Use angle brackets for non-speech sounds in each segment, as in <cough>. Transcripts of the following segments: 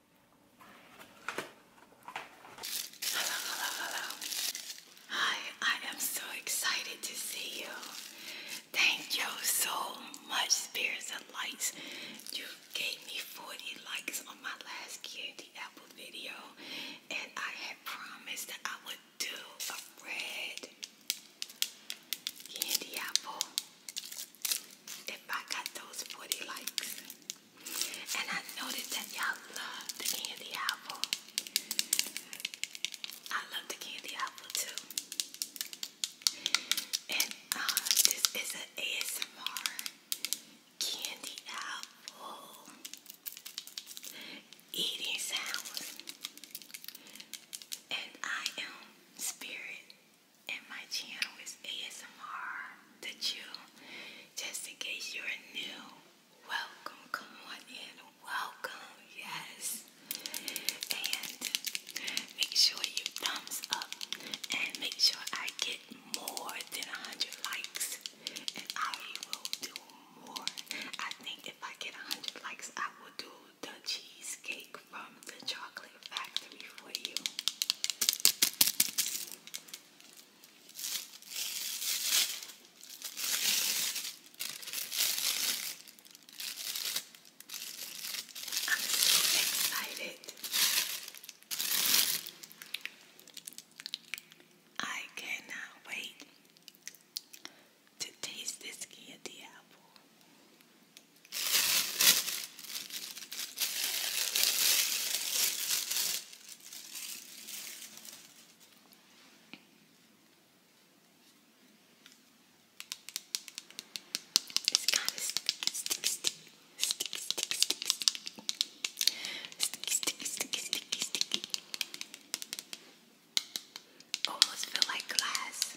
Hello, hello, hello. Hi, I am so excited to see you. Thank you so much, Spirits and Lights. You gave me 40 likes on my last Candy Apple video, and I had promised that I would do a red candy apple if I got those 40 likes. And I noticed that y'all love the candy apple. I love the candy apple too. And uh, this is an ASMR candy apple eating sounds. And I am Spirit, and my channel is ASMR that you, just in case you're new, welcome, come on in, welcome, yes. And make sure you thumbs up and make sure I get more than 100 likes, and I will do more. I think if I get 100 likes, I will do the cheesecake from the chocolate factory for you. I'm so excited. I cannot wait to taste this candy apple. It's kind of sticky, sticky, sticky, sticky, sticky, sticky, sticky, sticky, sticky, sticky, sticky. Almost feel like glass.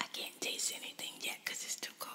I can't taste anything yet because it's too cold.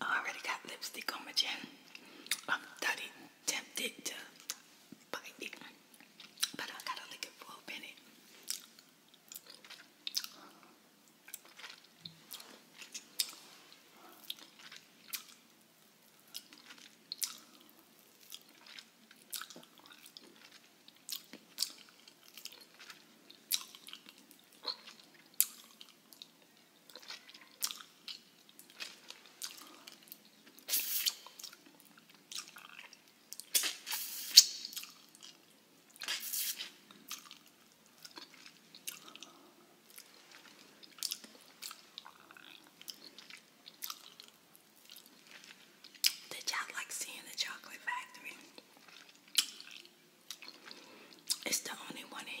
I already got lipstick on my chin. I'm totally tempted to bite it. But I gotta lick it for did y'all like seeing the chocolate factory? It's the only one in them.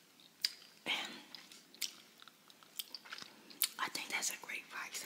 And I think that's a great price.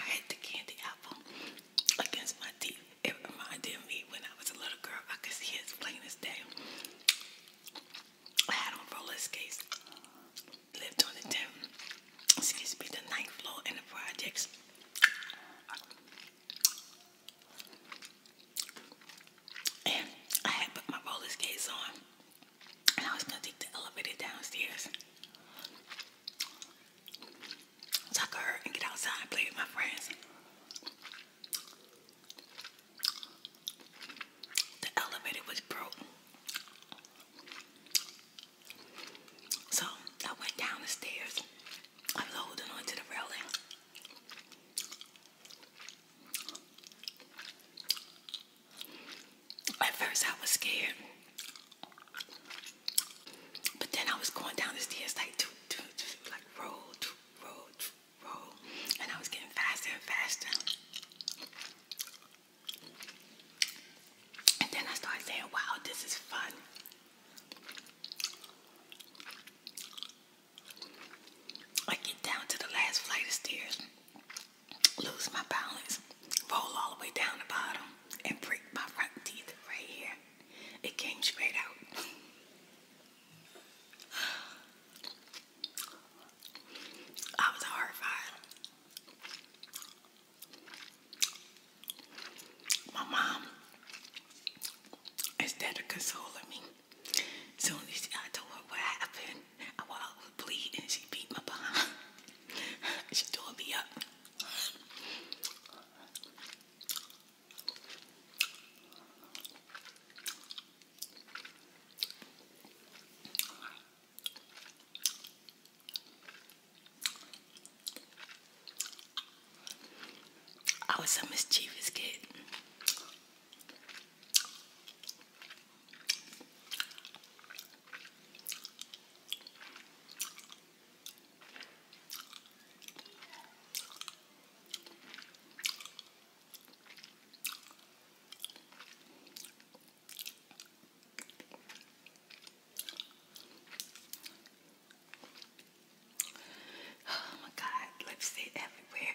I had the candy apple against my teeth. It reminded me when I was a little girl. I could see it as plain as I had on roller skates. Lived on the 10th, excuse me, the ninth floor in the projects. And I had put my roller skates on. And I was gonna take the elevator downstairs. So I could and get outside and play with my friends. The elevator was broke. So I went down the stairs. I was holding on the railing. At first I was scared. But then I was going down the stairs like, doo, doo, like roll, and I was getting faster and faster. And then I started saying, wow, this is fun. I get down to the last flight of stairs, lose my balance, roll all the way down the bottom, and break my front teeth right here. It came straight out. <laughs> I was horrified. My mom, instead of consoling me, soon I told her what happened, I was bleeding and she beat my behind. <laughs> she tore me up. I was a mischievous kid. Oh my god, lipstick everywhere.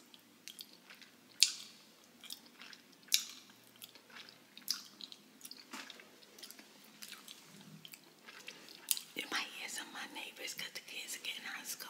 You might hear some of my neighbors because the kids are getting out of school.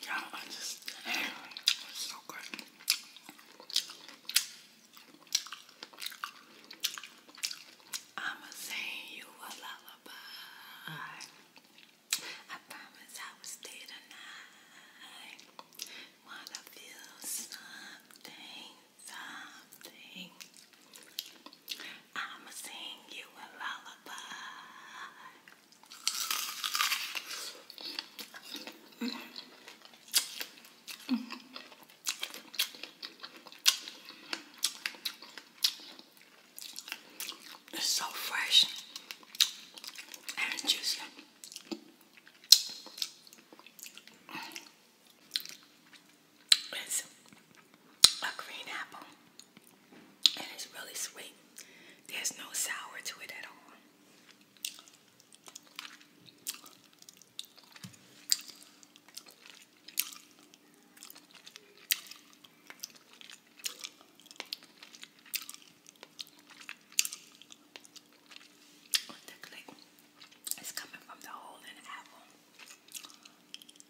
Y'all understand. so good. I'ma sing you a lullaby. I promise I will stay tonight. Wanna feel something, something. I'ma sing you a lullaby. so fresh and juicy. It's a green apple and it's really sweet. There's no sour to it at all. The coming from the hole in the apple.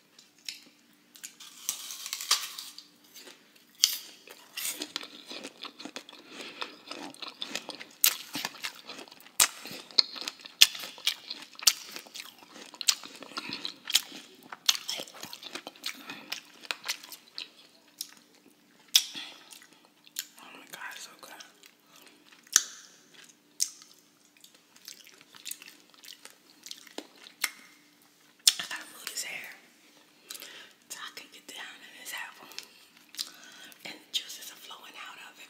Oh my god, it's so good. I gotta move his hair so I can get down in his apple and juices are flowing out of it.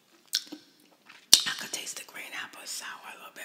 I can taste the green apple sour a little bit.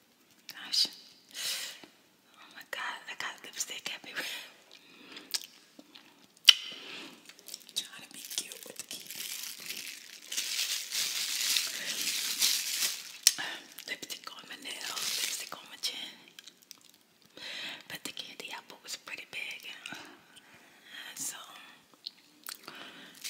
Gosh. Oh my god, I got lipstick everywhere. I'm trying to be cute with the Lipstick on my nails, lipstick on my chin. But the candy apple was pretty big. So,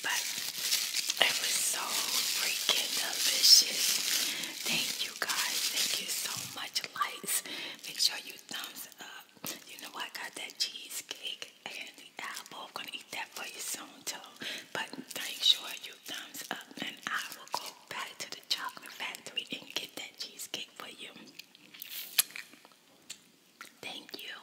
but it was so freaking delicious. Thank you guys. Thank you so much. Lights. Make sure you thumbs up. You know I got that cheesecake and the apple. I'm gonna eat that for you soon too. But make sure you thumbs up and I will go back to the chocolate factory and get that cheesecake for you. Thank you.